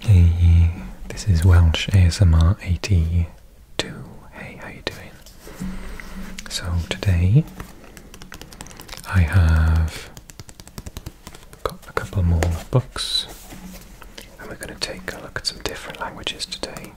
Hey, this is Welsh ASMR 82. Hey, how you doing? So today I have got a couple more books and we're going to take a look at some different languages today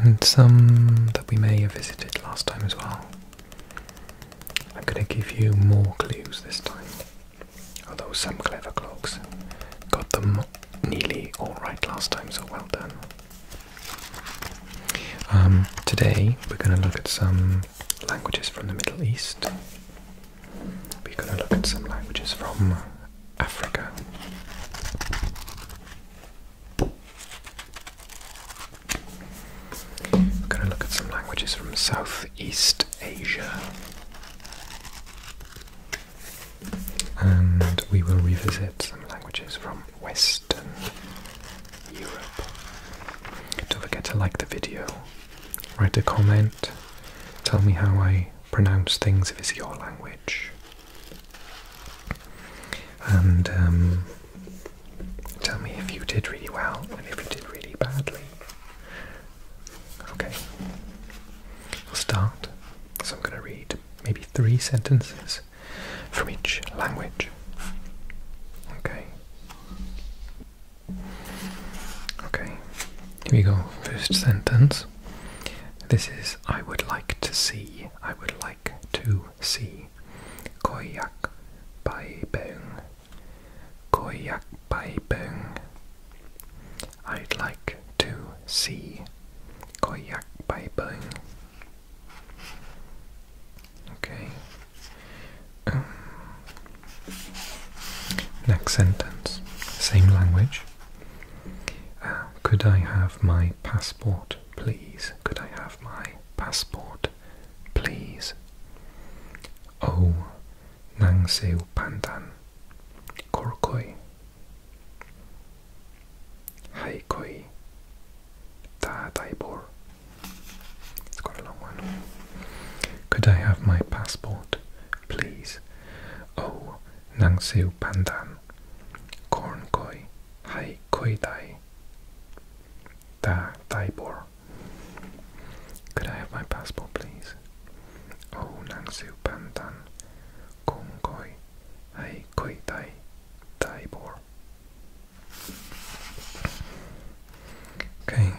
and some that we may have visited last time as well. I'm going to give you more clues this time. Although some clever clogs got them nearly all right last time, so well done. Um, today we're going to look at some languages from the Middle East. We're going to look at some languages from Africa. We're going to look at some languages from South East Asia. And we will revisit some languages from Western Europe. Don't forget to like the video, write a comment, tell me how I pronounce things if it's your language. And um, tell me if you did really well and if you did really badly. Okay. We'll start. So I'm going to read maybe three sentences from each language. Okay. Okay. Here we go. First sentence. This is I would like to see. I would like to see. Koyak bai beung Koyakbaibung. I'd like to see Koyakbaibung. Okay. Um, next sentence. Same language. Uh, could I have my passport, please? Could I have my passport? please. Oh, O nangseu pandan, korkoi, haikoi, da daibor. It's quite a long one. Could I have my passport, please? Oh, O nangseu pandan, kornkoi, haikoi dai, da daibor. Could I have my passport, please? Oh, Nangsu Pantan, Kong Koi, Koi dai, dai Bor. Okay,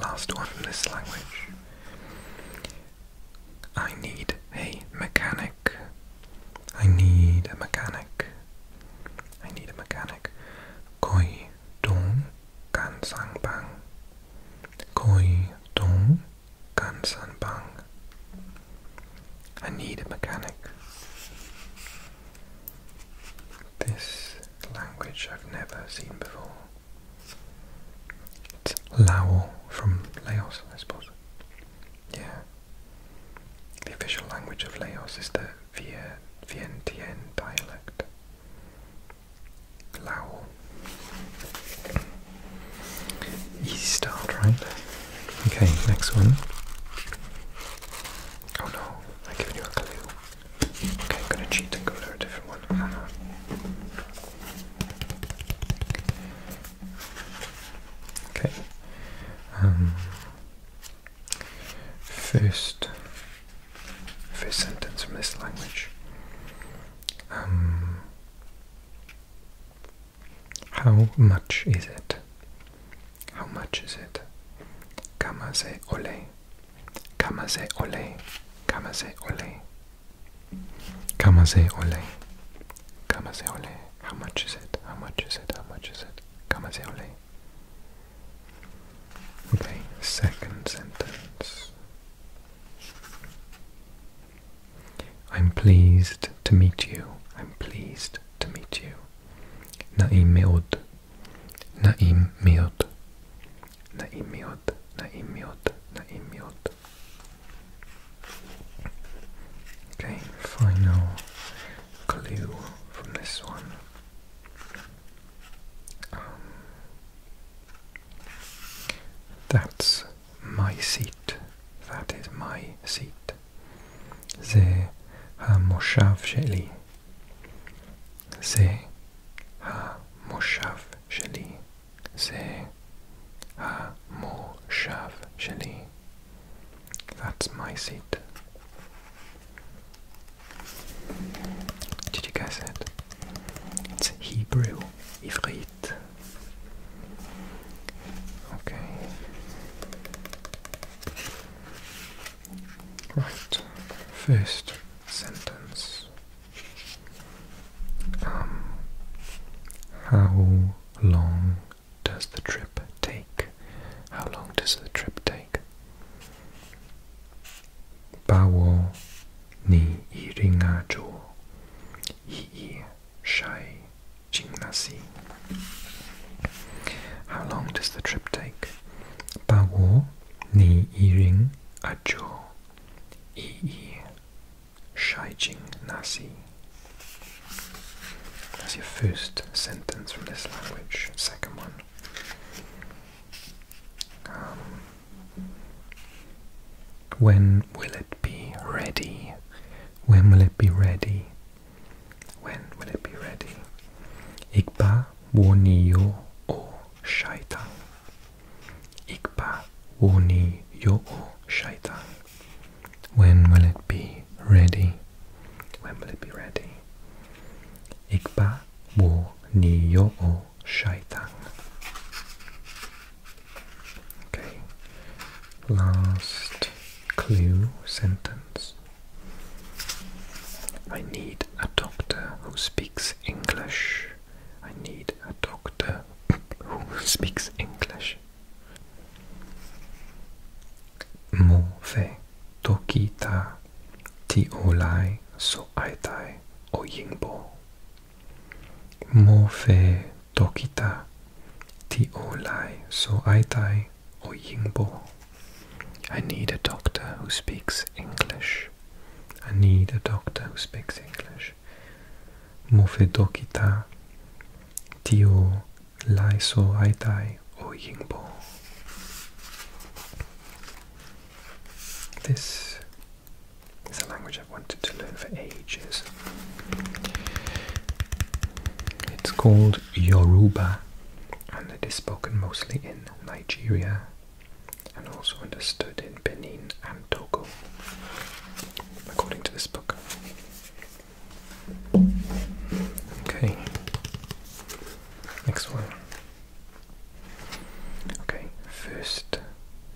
last one in this language. I need a mechanic. I need a mechanic. I need a mechanic. Koi I need a mechanic. This language I've never seen before. It's Lao from Laos, I suppose. Yeah. The official language of Laos is the Vien Vientiane dialect. Lao. Easy start, right? Okay, next one. Oh no, I gave you a clue. Okay, I'm gonna cheat and go to a different one. Okay. Um, first first sentence from this language. Um, how much is it? How much is it? Kamaze ole. Kamaze ole. Kamaze ole. Kamaze ole. Kamaze ole. How much is it? How much is it? How much is it? Kamaze ole. Okay, second sentence. I'm pleased to meet you. I'm pleased to meet you. Naim meod. Naim meod. Naim meod. Naim meod. Naim meod. Okay, final clue from this one. Um, that's my seat. That is my seat. זה המושב שלי. זה המושב שלי. זה המושב שלי. That's my seat. Did you guess it? It's Hebrew, Ivrit. Okay. Right. First sentence. Um, how long does the trip take? How long does the trip take? Bawo ni iringa jo yi shai jingnasi. How long does the trip take? Bawo ni iring a jo yi shai jing jingnasi. That's your first sentence from this language, second one. Um, when will it be ready? When will it be ready? When will it be ready? Ikba woniyo o Ikpa Ikba woniyo o shaitan. When will it be ready? When will it be ready? Ikba wo niyo o shaitan. Okay. Last clue sentence. I need a doctor who speaks English. I need a doctor who speaks English. Move tokita ti olai so aitai o yingbo. Move tokita ti olai so aitai o yingbo. I need a doctor who speaks English. I need a doctor who speaks English. Move dokita tio Lai So Aitai or Yingbo. This is a language I've wanted to learn for ages. It's called Yoruba and it is spoken mostly in Nigeria and also understood in Benin and Togo, according to this book. Okay. Next one. Okay, first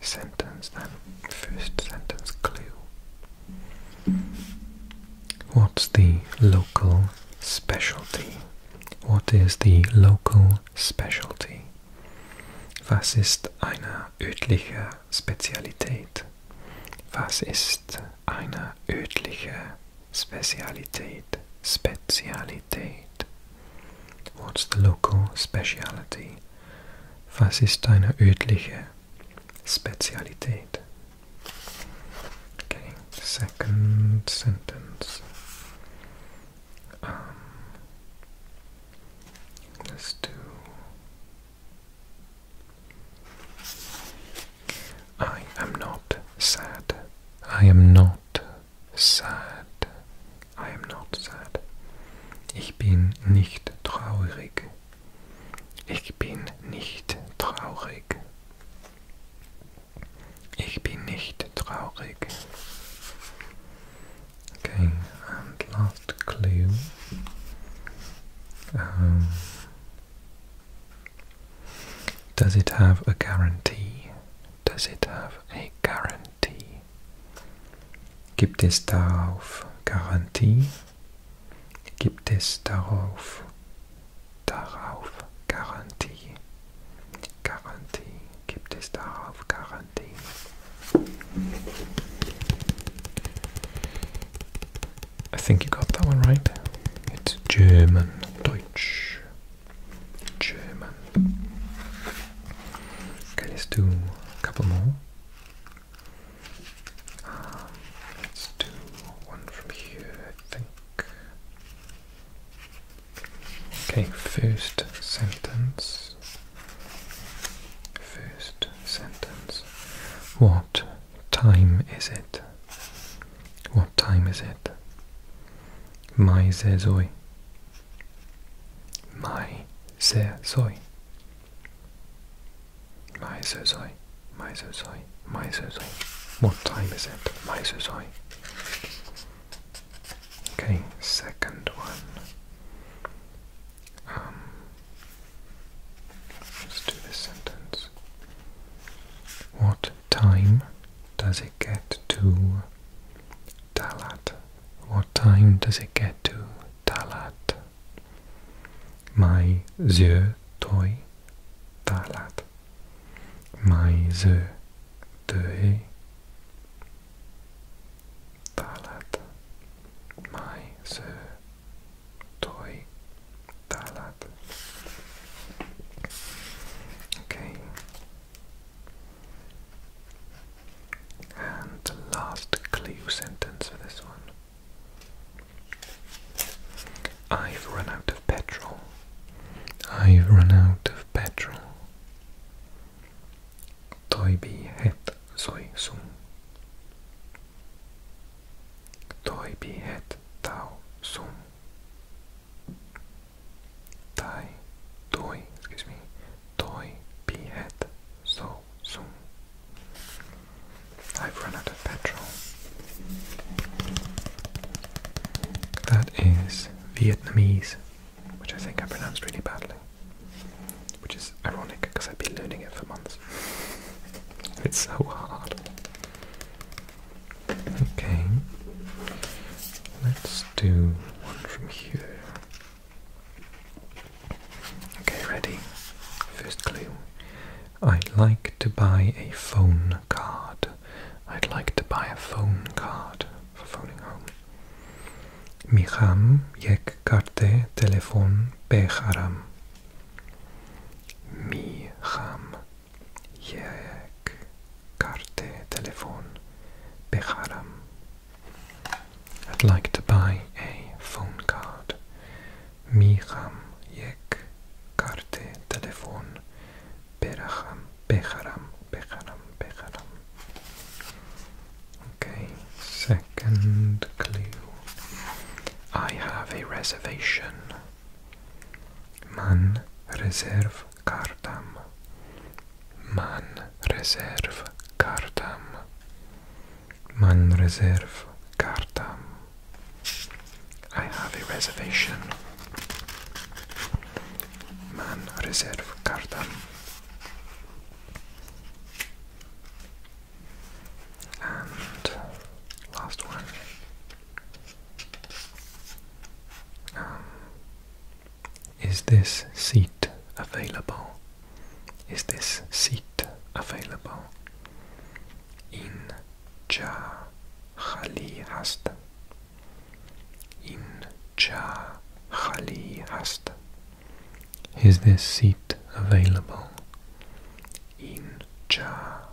sentence then. First sentence clue. What's the local specialty? What is the local specialty? Was ist eine örtliche Spezialität? Was ist eine örtliche Spezialität? Spezialität. What's the local speciality? Was ist deine örtliche Spezialität? Okay, second sentence. Um, let's do I am not sad. I am not sad. I am not sad. Ich bin nicht traurig. Ich bin nicht traurig. Ich bin nicht traurig. Okay, and last clue. Um, does it have a guarantee? Does it have a guarantee? Gibt es darauf Garantie? Gibt es darauf darauf Garantie? Garantie. Gibt es darauf Garantie? I think you got that one right. It's German. Deutsch. German. Okay, let's do a couple more. Um, let's do one from here, I think. Okay, first sentence. First sentence. What time is it? What time is it? Mai ze zoi. Mai ze zoi. Mai ze zoi. Mai zoi. Mai zoi. What time is it? Mai ze zoi. Okay, second one. Um, let's do this sentence. What time does it get to Talat? What time does it get to Talat? My zö toy Talat. My zö döe Talat. My zö toy talat. Okay. And last clue sentence for this one. I've run out of petrol. I've run out of petrol. Tôi bị hết rồi sung. Toi bihet tau sum. Tai toi, excuse me. Toi bihet so sum. I've run out of petrol. That is Vietnamese, which I think I pronounced really badly which is ironic because I've been learning it for months. It's so hard. Okay, let's do one from here. Okay, ready? First clue. I'd like to buy a phone card. I'd like to buy a phone card for phoning home. میخوام یک کارت تلفن بخرم. میخم یک کارت تلفن بخرم I'd like to buy a phone card. میخم یک کارت تلفن بخرم بخرم بخرم بخرم Okay, second clue. I have a reservation. Man Reserve kartam. Man Reserve kartam. Man Reserve kartam. I have a reservation. Man Reserve kartam. And last one. Um, is this seat available? Is this seat available? In cha khali hast. In cha khali hast. Is this seat available in Cha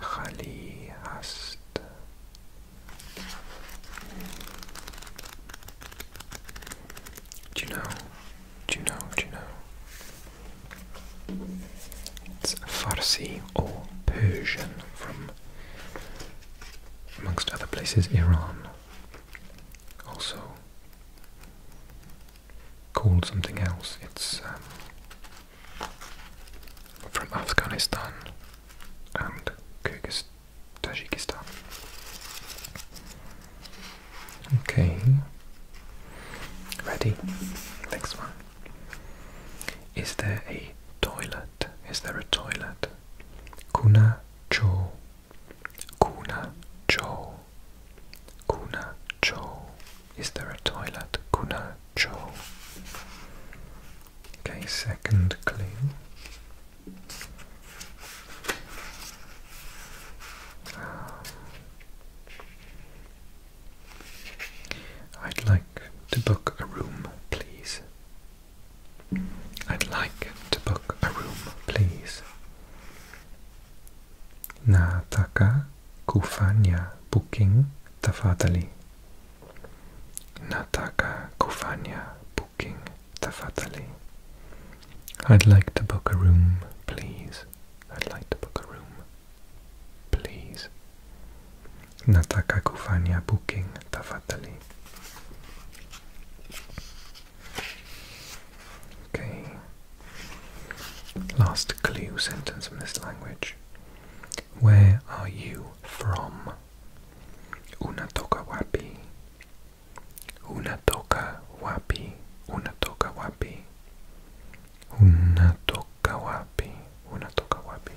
Khali hast? Do you know? Do you know? Do you know? It's Farsi or Persian from, amongst other places, Iran also called something else. It's um, from Afghanistan and Kyrgyz Tajikistan. Okay, ready. Next one. Is there a toilet? Is there a toilet? Kuna jo. Kuna Joe, Kuna Joe, Is there a toilet? Kuna Joe. Okay, second clue. Ah. I'd like to book a room, please. I'd like to book a room, please. Nataka kufanya booking tafatali. Nataka kufanya booking tafatali. I'd like to book a room, please. I'd like to book a room, please. Nataka kufanya booking tafatali. Okay. Last clue sentence from this language. Where are you from? Unatoka wapi? Unatoka wapi? Unatoka wapi? Unatoka wapi? Unatoka wapi?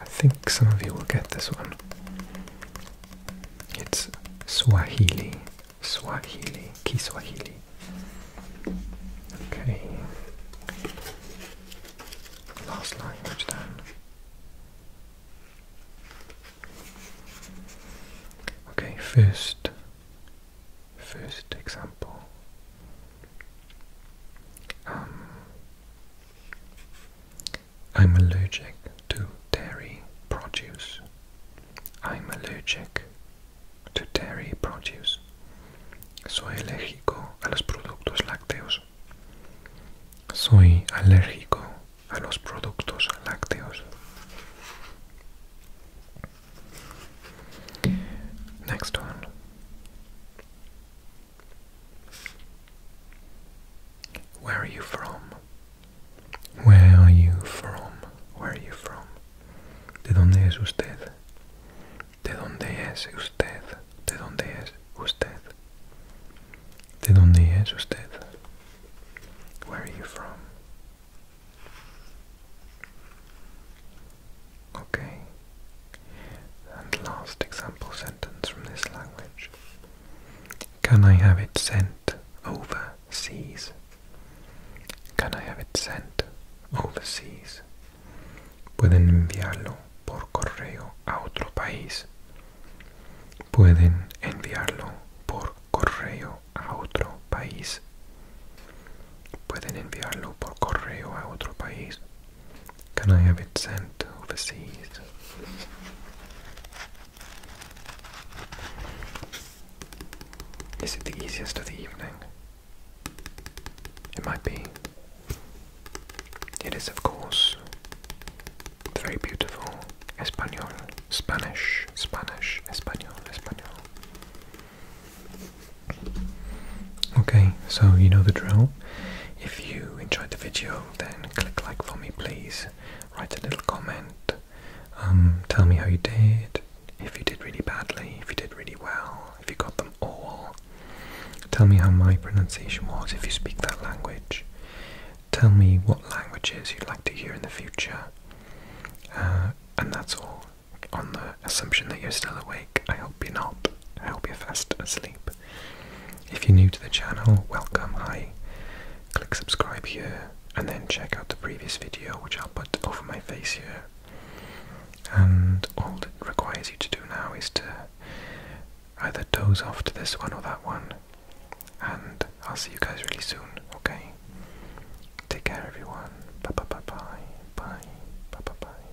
I think some of you will get this one. It's Swahili. Swahili. Kiswahili. Okay. Last language then. Okay, first first example. Um, I'm allergic to dairy produce. I'm allergic to dairy produce. Soy alérgico a los productos lácteos. Soy alérgico a los productos lácteos. Next one. Where are you from? Where are you from? Where are you from? ¿De dónde es usted? ¿De dónde es usted? ¿De dónde es usted? ¿De dónde es usted? Where are you from? Okay. And last example sentence from this language. Can I have it sent overseas? Can I have it sent overseas? Pueden enviarlo por correo a otro país. Pueden enviarlo por correo a otro país. Pueden enviarlo por correo a otro país. Can I have it sent overseas? Is it the easiest of the evening? It might be. It is, of course, very beautiful Espanol, Spanish, Spanish, Espanol, Espanol. Okay, so you know the drill. If you enjoyed the video, then click like for me, please. Write a little comment. Um, tell me how you did. If you did really badly, if you did really well, if you got them all. Tell me how my pronunciation was if you speak that language. Tell me what languages you'd like to hear in the future. Uh, and that's all on the assumption that you're still awake. I hope you're not. I hope you're fast asleep. If you're new to the channel, welcome. Hi. Click subscribe here and then check out the previous video, which I'll put over my face here. And all it requires you to do now is to either doze off to this one or that one. And I'll see you guys really soon, okay? Take care, everyone. bye bye bye. Bye bye bye bye.